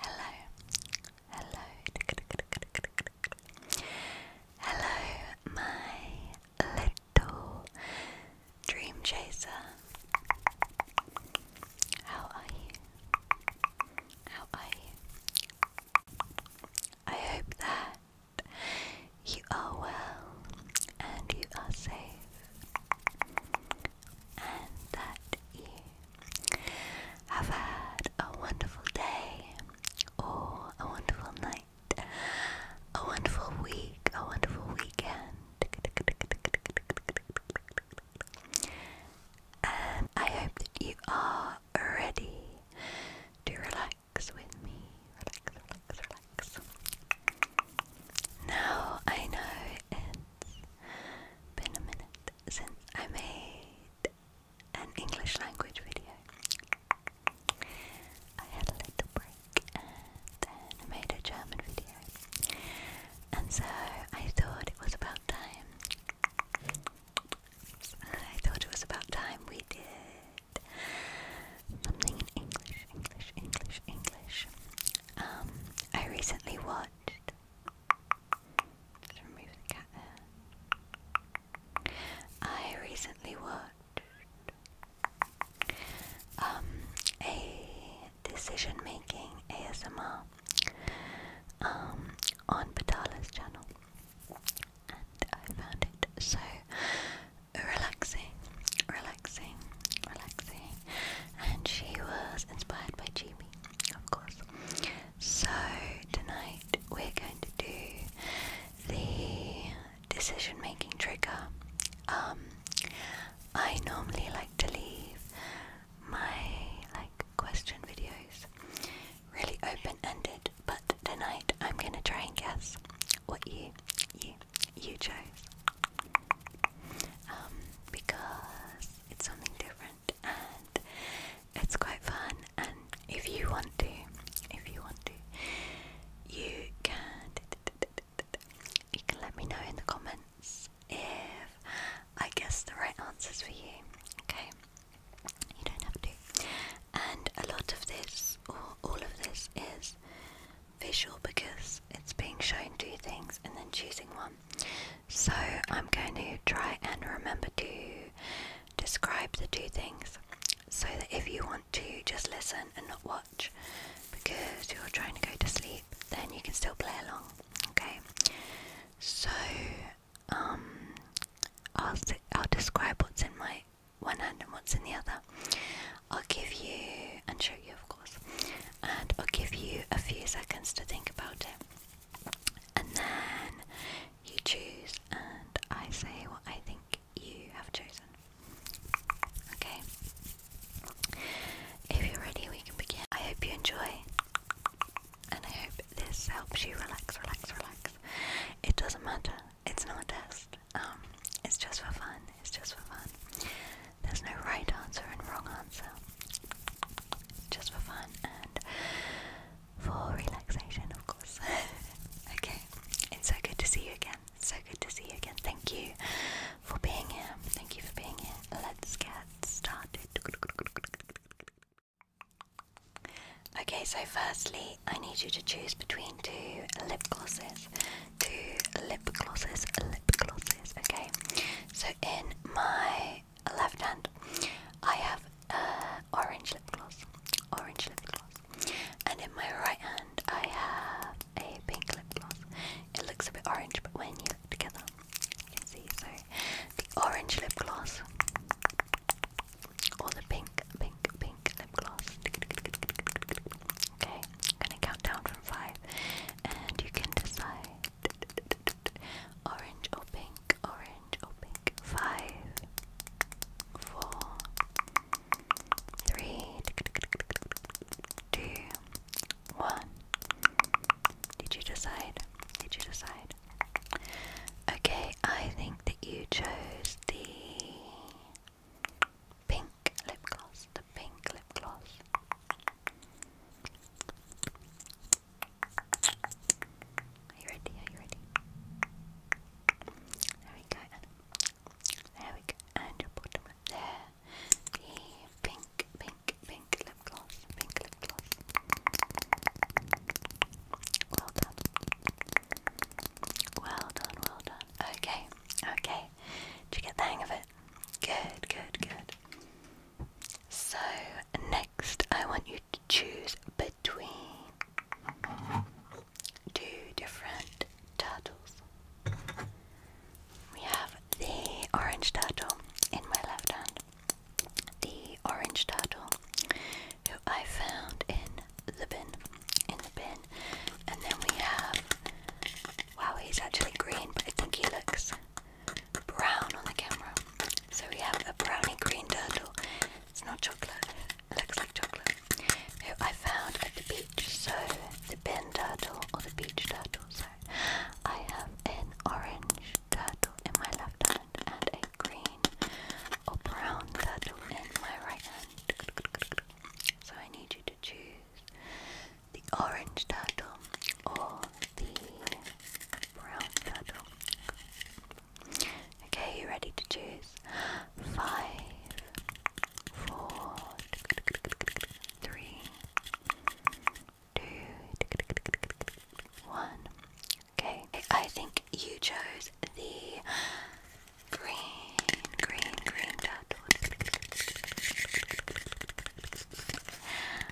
Hello, hello, hello, my little dream chaser. How are you? How are you? I hope that you are well and you are safe and that you have had a wonderful day or a wonderful night, a wonderful week, a wonderful weekend. I hope that you are ready to relax with me. Relax, relax, relax. Now I know it's been a minute since I made an English language video. I had a little break and then made a German video. And so I thought it was about time I thought it was about time we did something in English, English, English, English. Um, I recently watched. Let's remove the cat I recently watched um, a decision making ASMR um, on Batala's channel, and I found it so relaxing, relaxing, relaxing. And she was inspired by Jimmy, of course. So tonight we're going to do the decision-making trigger. Um, I normally like to leave my like question videos really open ended, but tonight I'm gonna try and guess what you you you chose. Um, because it's something different and it's quite fun and if you want to, if you want to, you can you can let me know in the comments if I guess the right answers for you. Okay. You don't have to. And a lot of this, or all of this, is visual because it's being shown two things and then choosing one. So I'm going to try and remember to describe the two things so that if you want to just listen and not watch because you're trying to go to sleep, then you can still play along. Okay? So um, I'll, I'll describe what's in my one hand and what's in the other. I'll give you, and show you of course, and I'll give you a few seconds to think about it. And then you choose, and I say what I think you have chosen. Okay? If you're ready, we can begin. I hope you enjoy. And I hope this helps you relax, relax, relax. It doesn't matter. It's not a test. Um, it's just for fun. It's just for fun. There's no right answer and wrong answer. Just for fun and for relaxation, of course. okay. It's so good to see you again. So good to see you again. Thank you for being here. Thank you for being here. Let's get started. Okay, so firstly, I need you to choose between two lip glosses. Two lip glosses, lip glosses, okay? So in my left hand, I have uh, orange lip gloss, orange lip gloss. And in my right hand, I have a pink lip gloss. It looks a bit orange, but when you look together, see. So the orange lip gloss or the pink, pink, pink lip gloss. Okay, I'm gonna count down from five, and you can decide orange or pink, orange or pink. Five, four, three, two, one. Did you decide? Did you decide? Okay, I think that you chose the pink lip gloss. The pink lip gloss. Are you ready? Are you ready? There we go. There we go. And your bottom lip there. The pink, pink, pink, lip gloss, pink lip gloss. Well done. Well done, Okay, okay. Did you get the hang of it? Good, good, good. So, next I want you to choose between two different turtles. We have the orange turtle in my left hand the orange turtle who I found in the bin. In the bin. And then we have wow he's actually green but I think he looks brown on the camera. So we have a brownie green turtle. It's not chocolate. It looks like chocolate. Who I found at the beach. So the bin turtle or the beach turtle. So I have an orange turtle in my left hand and a green or brown turtle in my right hand. So I need you to choose the orange turtle or the brown turtle. Okay, you ready to choose? Five, four, three, two, one. Okay, I think you chose the green, green, green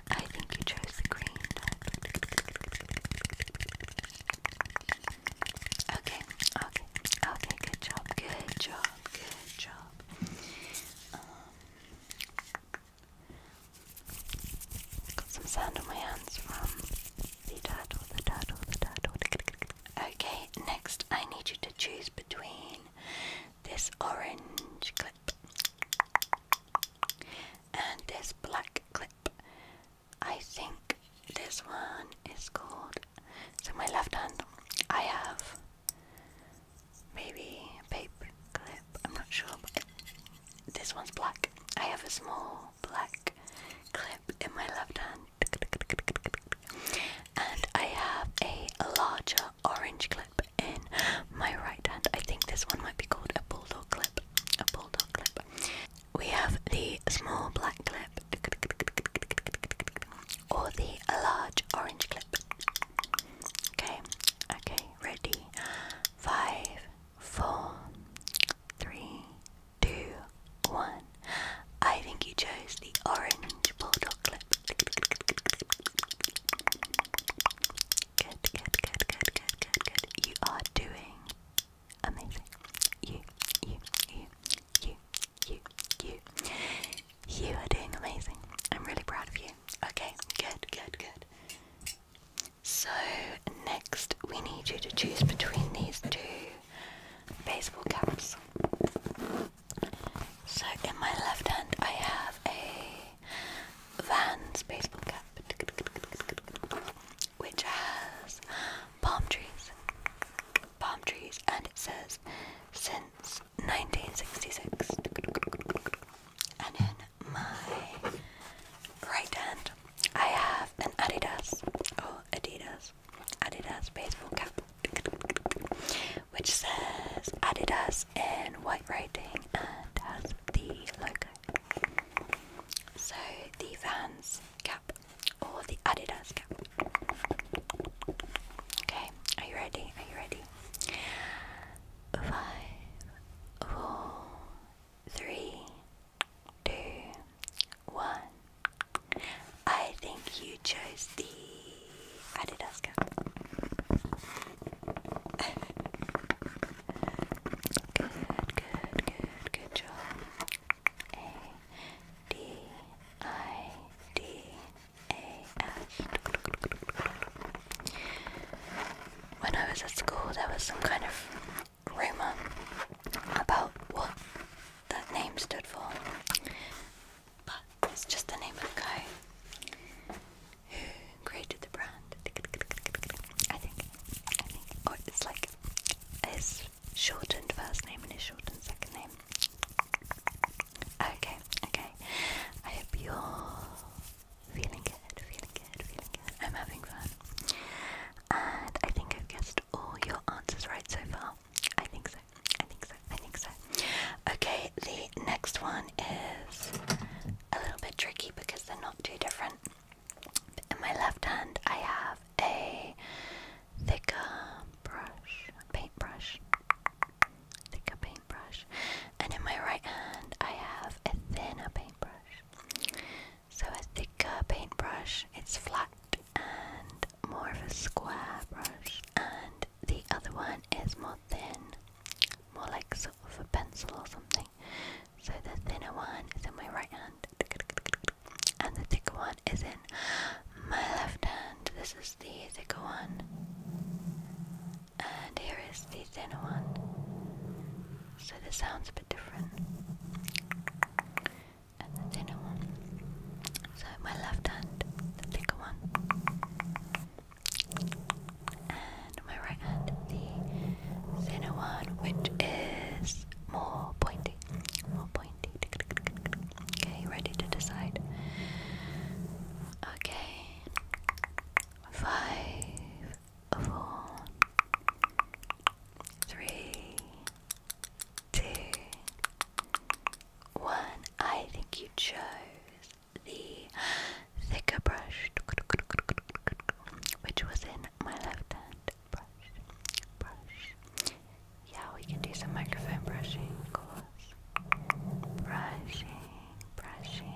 I think you chose the green turtle. Okay, okay, okay, good job, good job, good job. Um, I got some sand on my hands from the turtle, the turtle, the turtle. Okay, next I need you to choose between this orange clip and this black clip. I think this one is called. So, my left hand, I have maybe a paper clip, I'm not sure, this one's black. I have a small black clip in my left hand, and I have a larger orange clip in my right hand. I think this one might be called a bulldog clip. A bulldog clip. We have the small black clip or the large orange clip. Okay, okay, ready. Five, four, three, two, one. I think you chose the orange bulldog clip. Good, good, good, good, good, good, good. You are doing amazing. You, you, you, you, you, you. You are doing amazing. I'm really proud of you. Okay, good, good, good. So next we need you to choose between these two baseball caps. So in my left hand I have a Vans baseball cap which has palm trees. Palm trees and it says since 1966 my right hand, I have an Adidas, oh Adidas, Adidas baseball cap, which says Adidas in white writing and has the logo. So the Vans cap or the Adidas cap. Okay, are you ready? Are you ready? Five, four, three, two, one. I think you chose the Adidas good, good, good, good job. A D I D A S when I was at school, there was some kind of rumor about what that name stood for. But it's just the name of the guy who created the brand. I think. I think. Or it's like his shortened first name and his shortened second name. Okay, okay. I hope you're Feeling good, feeling good, feeling good. I'm having fun. And I think I've guessed all your answers right so far. I think so. I think so. I think so. Okay, the next one is a little bit tricky because they're not too different. In my left hand, I have a thicker brush, paintbrush, thicker paintbrush, and in my right hand, I have a thinner paintbrush. So a thicker paintbrush, it's flat and more of a square brush, and the other one is more thin, more like sort of a pencil or something. So the thinner one is in my right hand, and the thicker one is in my left hand. This is the thicker one, and here is the thinner one. So the sound's a bit different. And the thinner one. So my left hand, the thicker one. And my right hand, the thinner one, which is more pointy. More pointy. Okay, ready to decide. Okay. Five, four, three, two, one. I think you chose the thicker brush, which was in my left hand. Brush, brush. Yeah, we can do some microphone brushing, of course. Brushing, brushing.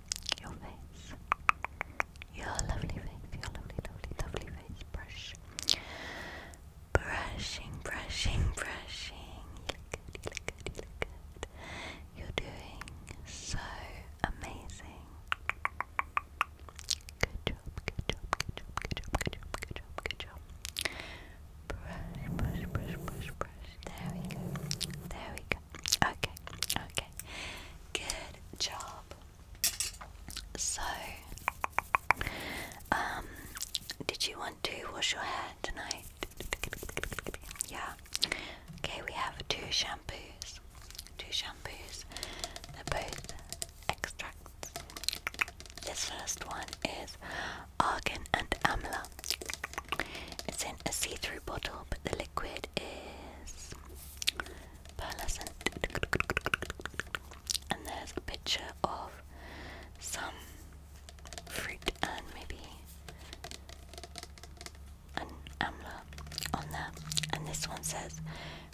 your face, your lovely face, your lovely, lovely, lovely face. Brush, brushing, brushing, brushing. You look good, you look good, you look good. You're doing so amazing. Good job, good job, good job, good job, good job, good job, good job. Brush, brush, brush, brush, brush. There we go. There we go. Okay, okay. Good job. So, um, did you want to wash your hair tonight? Yeah. Okay, we have two shampoos. Two shampoos. They're both extracts. This first one is argan and amla. It's in a see through bottle, but the liquid is pearlescent. And there's a picture of some fruit and maybe an amla on there. And this one says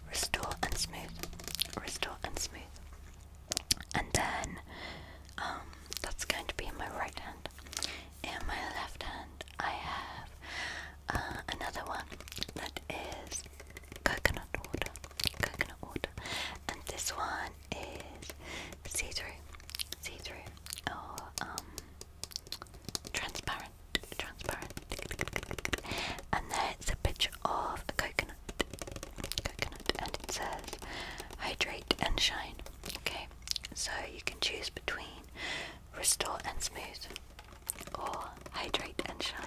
restore and smooth, restore and smooth. And then um, that's going to be in my right hand. In my left hand, I have uh, another one that is coconut water. Coconut water. And this one is see through, see through, or um, transparent. Transparent. And there it's a picture of a coconut. Coconut. And it says hydrate and shine. Okay. So you can choose between restore and smooth or hydrate and shine.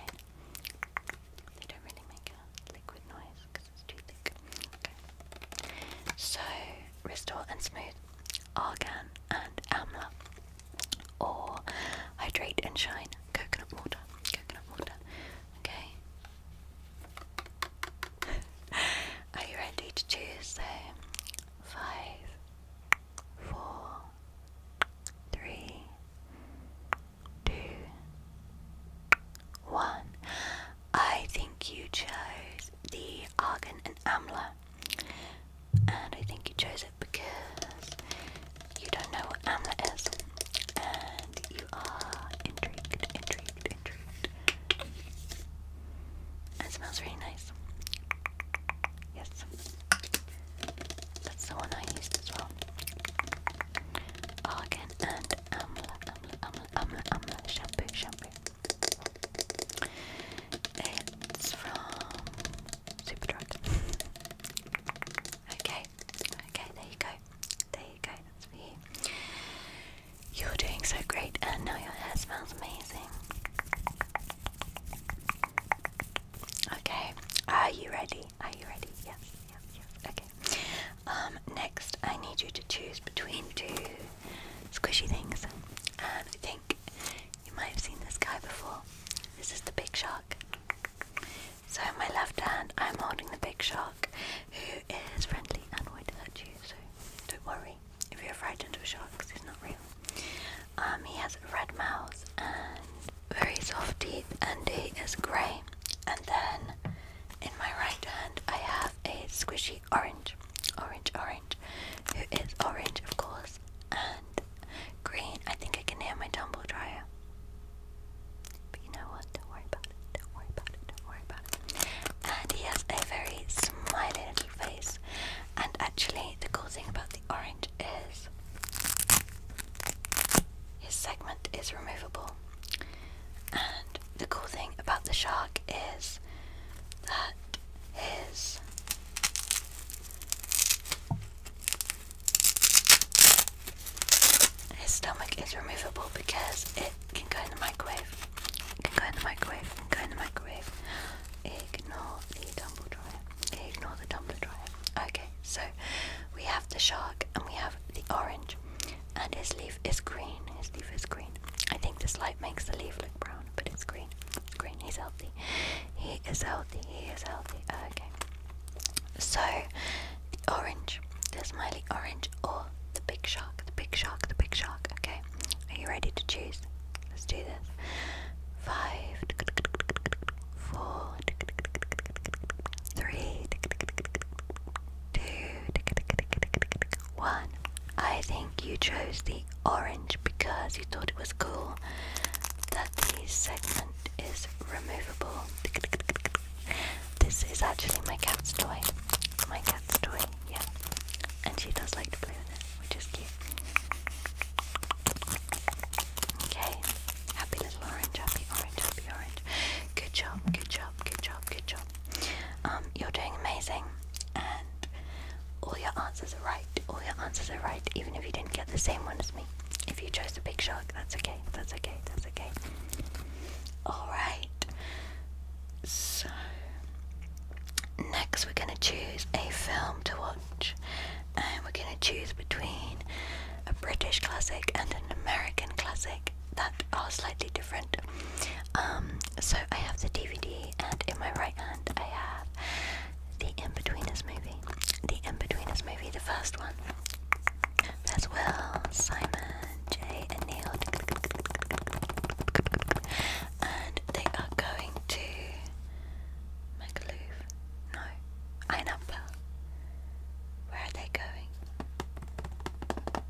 They don't really make a liquid noise because it's too thick. Okay. So restore and smooth, argan and amla or hydrate and shine, coconut water, coconut water. Okay. Are you ready to choose though? Five, four, three, two, one. I think you chose the Argan and Amla. And I think you chose it because you don't know what Amla is. And you are intrigued, intrigued, intrigued. It smells really nice. Yes. That's the one I used as well. Oh, Argan and Amla, Amla, Amla, Amla, Amla shampoo, shampoo. It's from Superdrug. okay, okay, there you go. There you go, that's for you. You're doing so great, and now your hair smells amazing. Okay, are you ready? Are you ready? Yes, yes, yes. Okay. Um, next, I need you to choose between two squishy things. And I think you might have seen this guy before. This is the big shark. So, in my left hand, I'm holding the big shark who is friendly and won't hurt you, so don't worry. If you're frightened of sharks, he's not real. Um, he has a red mouth and very soft teeth, and he is grey. And then in my right hand, I have a squishy orange, orange, orange, It is orange, of course, and green. I think I can hear my tumble dryer. But you know what? Don't worry about it. Don't worry about it. Don't worry about it and he has a very smiling little face. And actually, the cool thing about the orange is his segment is removable. And the cool thing about the shark is that his his stomach is removable because it can go in the microwave. Can go in the microwave. Can go in the microwave. Ignore the tumble dryer. Ignore the tumbler dryer. Okay, so we have the shark and we have the orange, and his leaf is green. His leaf is green. I think this light makes the leaf look brown, but it's green. green. He's healthy. He is healthy. He is healthy. Okay. So the orange. There's my orange or the big shark? The big shark, the big shark. Okay, are you ready to choose? Let's do this. Five, four, three, two, one. I think you chose the orange because you thought it was cool that the segment is removable. This is actually my cat's toy. My cat's toy yeah, and she does like to play with it, which is cute. Okay, happy little orange, happy orange, happy orange. Good job, good job, good job, good job. Um, you're doing amazing, and all your answers are right. All your answers are right, even if you didn't get the same one as me. If you chose the big shark, that's okay, that's okay, that's okay. Alright, so, next we're going to choose a film to watch, and we're going to choose between a British classic and an American classic that are slightly different. Um, so, I have the DVD, and in my right hand, I have the In Betweeners movie. The In Betweeners movie, the first one. There's well Simon, Jay, and Neil and they are going to Magaluf. No, Ainapa. Where are they going?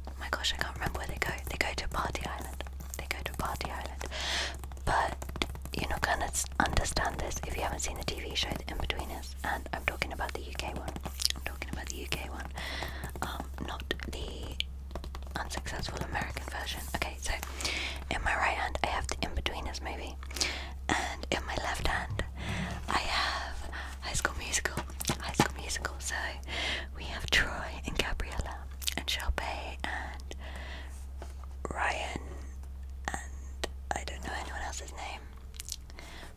Oh my gosh, I can't remember where they go. They go to Party Island. They go to Party Island. But you're not gonna understand this if you haven't seen the TV show The In Between Us. And I'm talking about the UK one. I'm talking about the UK one. Um, not the unsuccessful American version. Okay, so in my right hand I have the in-betweeners movie, and in my left hand I have High School Musical. High School Musical. So we have Troy and Gabriella and Shelby and Ryan and I don't know anyone else's name.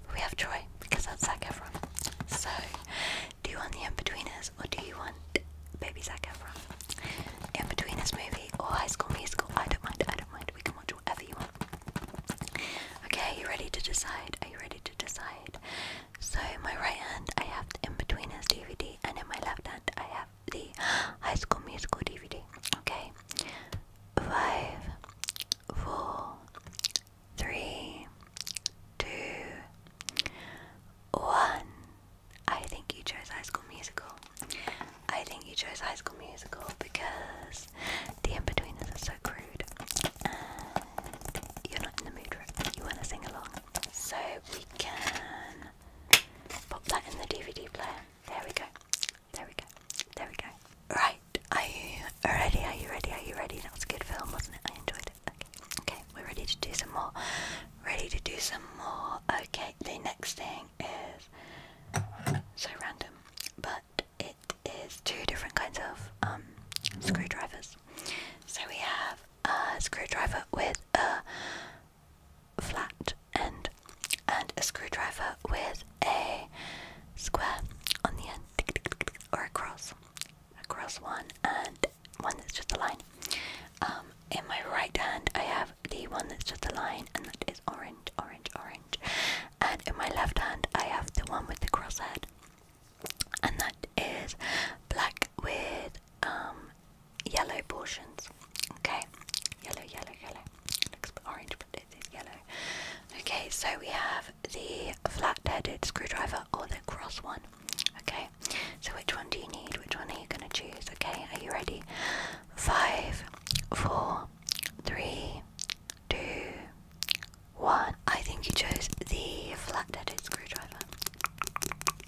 But we have Troy because that's Zac Efron. So do you want the in-betweeners Six do you want Baby Zac Efron? In between this movie or High School Musical? I don't mind, I don't mind. We can watch whatever you want. Okay, are you ready to decide? Are you ready to decide? So in my right hand I have In Between Us DVD and in my left hand I have the High School Musical DVD. Okay. Five, four, three, two, one. I think you chose High School Musical. I think you chose High School Musical because the in-betweeners are so crude. And you're not in the mood You want to sing along. So we can pop that in the DVD player. There we go. There we go. There we go. Right. Are you ready? Are you ready? Are you ready? That was a good film, wasn't it? I enjoyed it. Okay, we're ready to do some more. Ready to do some more. Okay, the next thing is so random, but it is two different kinds of um, screwdrivers. So we have a screwdriver with a flat end and a screwdriver with a square on the end or a cross cross one and one that's just a line. Um, in my right hand, I have the one that's just a line, and that is orange, orange, orange. And in my left hand, I have the one with the crosshead, and that is black with um, yellow portions. Okay, yellow, yellow, yellow. looks orange, but it is yellow. Okay, so we have the flat-headed screwdriver or the cross one. Okay, so which one do you need? Which one are you going to choose? Okay, are you ready? Five, four, three, two, one. I think you chose the flat headed screwdriver.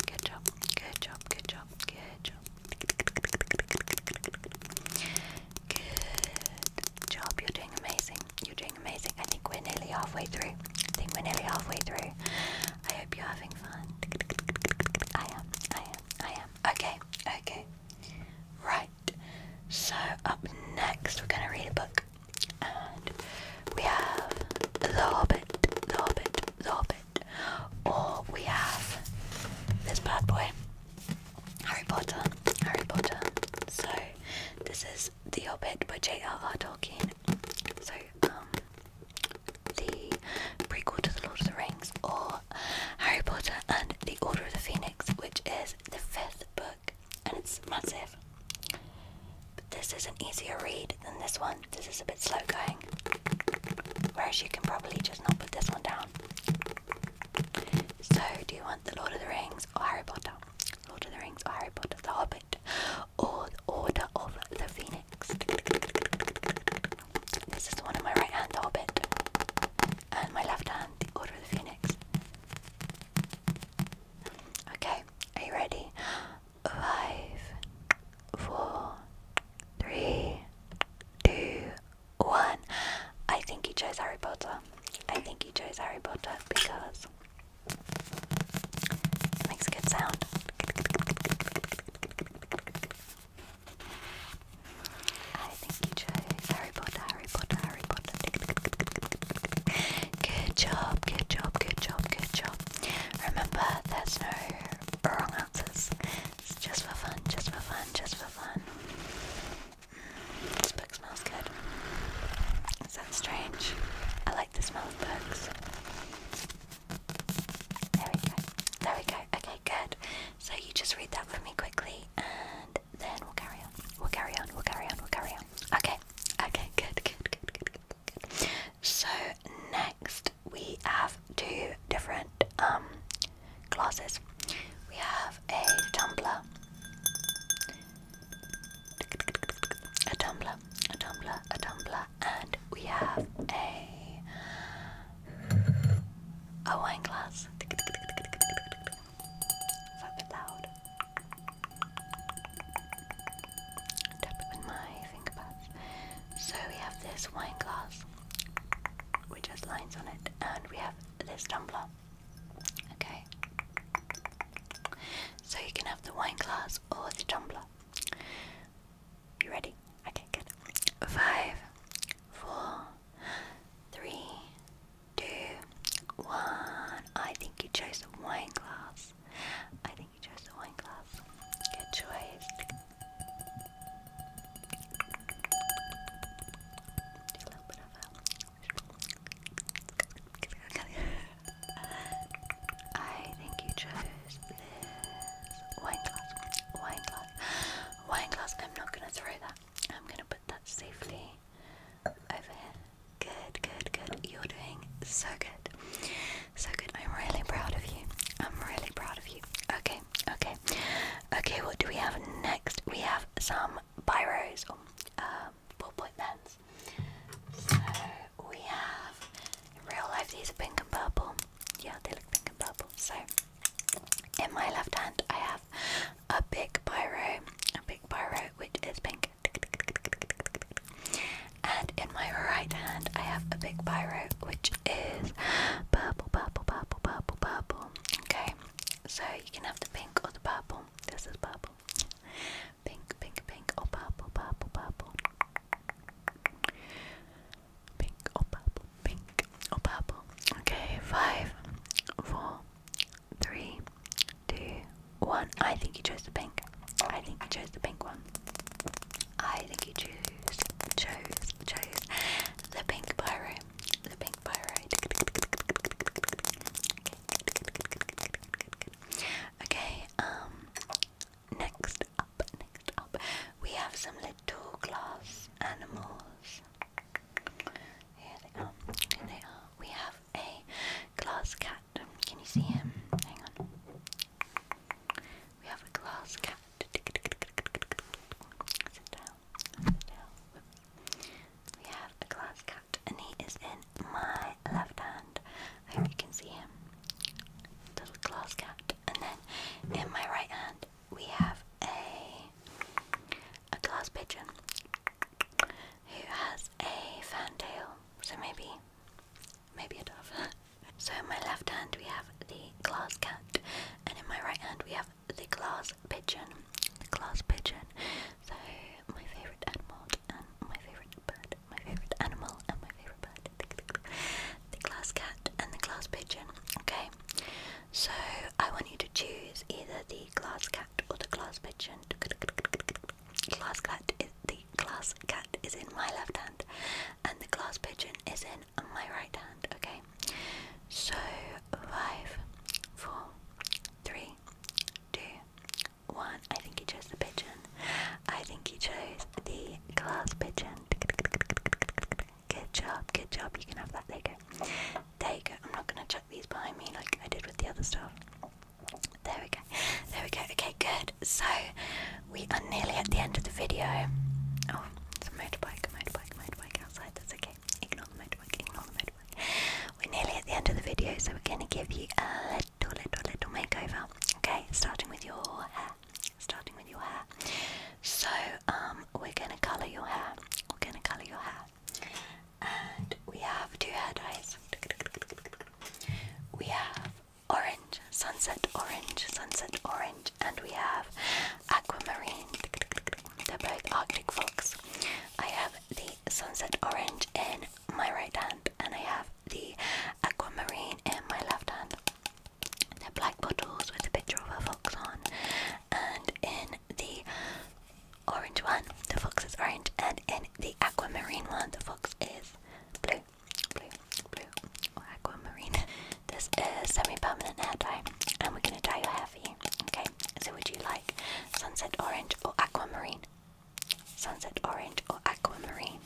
Good job, good job, good job, good job. Good job, you're doing amazing. You're doing amazing. I think we're nearly halfway through. I think we're nearly halfway through. I hope you're having fun. I am, I am, I am. Okay, okay. Right. So, up next, we're going to read a book. And we have The Hobbit, The Hobbit, The Hobbit. Or we have this bad boy, Harry Potter, Harry Potter. So, this is the Hobbit by J.R.R. Tolkien. So, um, the prequel to The Lord of the Rings, or Harry Potter and The Order of the Phoenix, which is the fifth book, and it's massive. But this is an easier read than this one. This is a bit slow going. Whereas you can probably just not put this one down. So, do you want The Lord of the Rings or Harry Potter? Lord of the Rings or Harry Potter? The Hobbit or the Order of the Phoenix. This is the one in my right hand, orbit, and my left hand, the Order of the Phoenix. Okay, are you ready? Five, four, three, two, one. I think he chose Harry Potter. I think he chose Harry Potter because it makes a good sound. Harry Potter, Harry Potter, Harry Potter. Good job, good job, good job, good job. Remember, there's no wrong answers. It's just for fun, just for fun, just for fun. Mm, this book smells good. Is strange? I there we go. There we go. Okay, good. So you just read that for me quickly and then we'll carry on. We'll carry on, we'll carry on, we'll carry on. Okay, okay, good, good, good, good, good, So next we have two different um glasses. We have a tumbler a tumbler, a tumbler, a tumbler, and we have a a wine glass. It's loud. Tap it with my fingerpads. So we have this wine glass, which has lines on it, and we have this tumbler. Okay. So you can have the wine glass or the tumbler. You ready? Okay, good. Five, four, three, two, one. I think you chose the wine glass. I think you chose the wine glass. Good choice. I think you chose this wine glass, wine glass, wine glass. I'm not gonna throw that. I'm gonna put that safely over here. Good, good, good. You're doing so good. So good. I'm really proud of you. I'm really proud of you. Okay, okay. Okay, what do we have next? We have some biros um, ball point pens. So we have in real life these are pink and purple. Yeah, they look pink and purple. So in my left hand I have a big pyro, a big pyro which is pink. And in my right hand I have a big pyro which is purple, purple, purple, purple, purple. Okay. So you can have the pink or the purple. This is purple. Pink, pink, pink, oh purple, purple, purple. Pink, oh purple, pink, oh purple. Okay, five, four, three, two, one. I think you chose the pink. I think you chose the pink one. I think you chose, chose, chose the pink pyro. The pink pyro. Okay, um, Next up, next up, we have some little glass animals. Here they are. Here they are. We have a glass cat. Can you see him? Hang on. We have a glass cat. Sit down. Sit down. We have a glass cat, and he is in my left hand, I hope you can see him. Little glass cat. And then in my right hand we have a a glass pigeon who has a fantail. So maybe maybe a dove. so in my left hand we have the glass cat and in my right hand we have the glass pigeon. The glass pigeon. So my favourite animal and my favourite bird my favorite animal and my favorite bird. The glass cat and the glass pigeon. Okay, so I want you to choose either the glass cat or the glass pigeon. Glass cat is the glass cat is in my left hand, and the glass pigeon is in my right hand. Okay, so five, four, three, two, one. I think he chose the pigeon. I think he chose the glass pigeon. Good job, good job. You can have that. There you go. There you go. I'm not gonna chuck these behind me like I did with the other stuff. There we go. There we go. Okay, good. So we are nearly at the end of the video. Oh, it's a motorbike, motorbike, motorbike outside. That's okay. Ignore the motorbike. Ignore the motorbike. We're nearly at the end of the video, so we're gonna give you a little, little, little makeover. Okay, starting with your hair. Starting with your hair. So, um, we're gonna colour your hair. We're gonna colour your hair. And we have two hair dyes. We have orange, sunset orange, sunset orange, and we have aquamarine. They're both Arctic Fox. I have the sunset orange in my right hand and I have the aquamarine in my left hand. They're black bottles with a picture of a fox on and in the orange one the fox is orange and in the aquamarine one the fox is blue, blue, blue aquamarine. This is semi-permanent hair dye and we're going to dye your hair for you. Okay, so would you like sunset orange or aquamarine? sunset orange or aquamarine.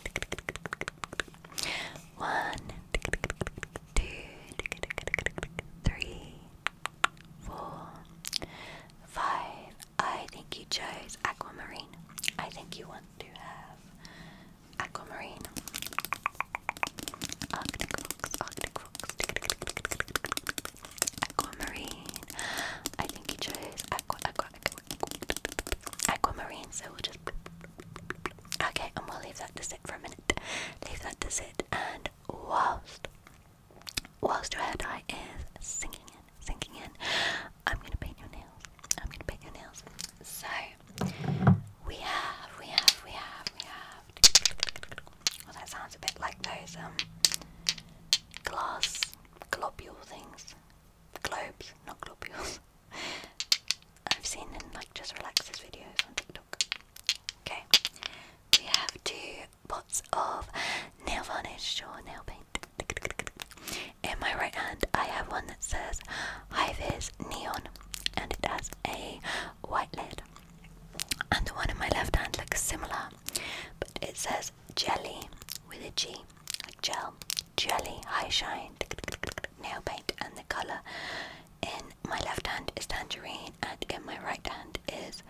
One, two, three, four, five. I think you chose aquamarine. I think you want to have aquamarine. Aquamarine. I think you chose aqua, aquamarine, so we'll just. Okay, and we'll leave that to sit for a minute. Leave that to sit, and whilst whilst your hair dye is sinking in, sinking in, I'm gonna paint your nails. I'm gonna paint your nails. So we have, we have, we have, we have. Well, that sounds a bit like those um glass globule things globes, not globules. I've seen in like just relaxes videos on TikTok. Okay, we have two pots of nail varnish or nail paint. In my right hand, I have one that says High Viz Neon, and it has a white lid. And the one in my left hand looks similar, but it says Jelly with a G, like gel. Jelly High Shine nail paint, and the colour in my left hand is tangerine, and in my right hand is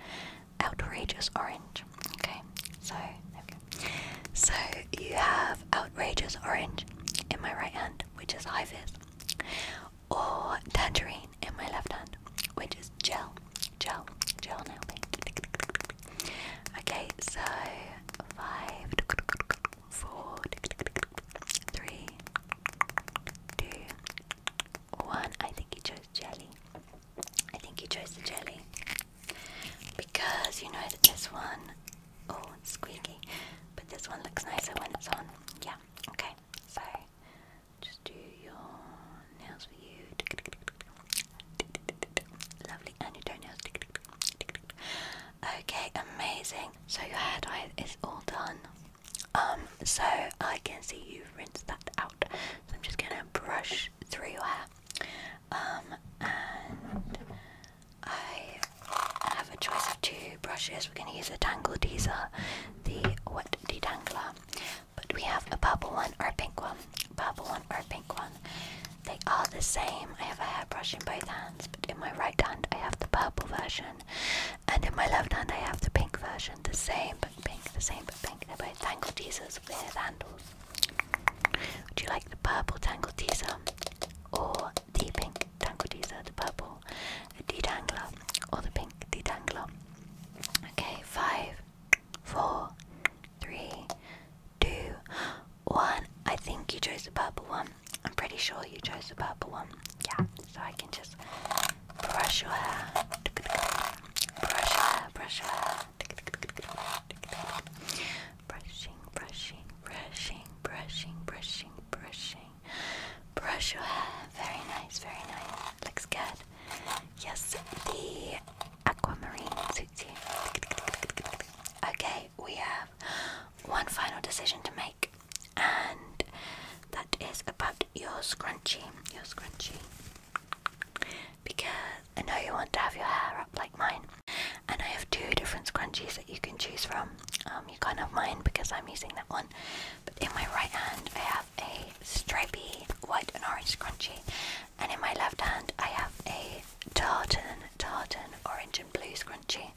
outrageous orange. Okay, so so you have outrageous orange in my right hand, which is high vis, or tangerine in my left hand, which is gel, gel, gel nail paint. Okay, so five, four, three, two, one. I think he chose jelly. I think he chose the jelly because you know that this one, oh, it's squeaky, but this one looks nicer when it's on. Yeah. Okay. So just do your nails for you. Lovely, and your toenails. Okay, amazing. So your hair dye is all done. Um, so I can see you've rinsed that out. So I'm just gonna brush through your hair. Um, and I have a choice of two brushes. We're gonna use a Tangle Teaser, the wet detangler, but we have a purple one or a pink one purple one or a pink one. They are the same. I have a hairbrush in both hands, but in my right hand I have the purple version, and in my left hand I have the pink version. The same but pink, the same but pink. They're both tangle teasers with handles. Would you like the purple tangle teaser or the pink tangle teaser? The purple detangler or the pink detangler? Okay, five, four, three, two, one. I think you chose the purple one. I'm pretty sure you chose the purple one. Yeah, so I can just brush your hair. Brush your hair, brush your hair. Brushing, brushing, brushing, brushing, brushing, brushing. Brush your hair. Very nice, very nice. Looks good. Yes, the aquamarine suits you. Okay, we have one final decision to make, and that is about your scrunchie. Your scrunchie. Because I know you want to have your hair up like mine, and I have two different scrunchies that you can choose from. Um, you can't have mine because I'm using that one, but in my right hand I have a stripy white and orange scrunchie, and in my left hand I have a tartan, tartan orange and blue scrunchie.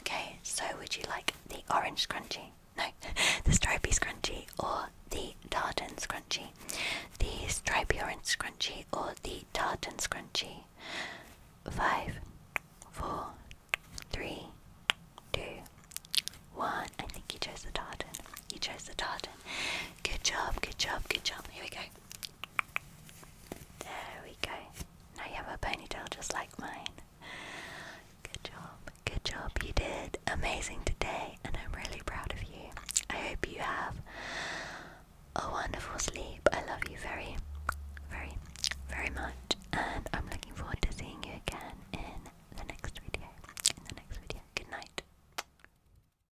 Okay, so would you like the orange scrunchie? No, the stripy scrunchie or the tartan scrunchie? The stripy orange scrunchie or the tartan scrunchie? Five, four, three, two, one. I think you chose the tartan. You chose the tartan. Good job, good job, good job. Here we go. There we go. Now you have a ponytail just like mine. Good job, good job. You did amazing today, and I'm really proud of you. I hope you have a wonderful sleep. I love you very, very, very much, and I'm looking forward to seeing you again in the next video. In the next video. Good night.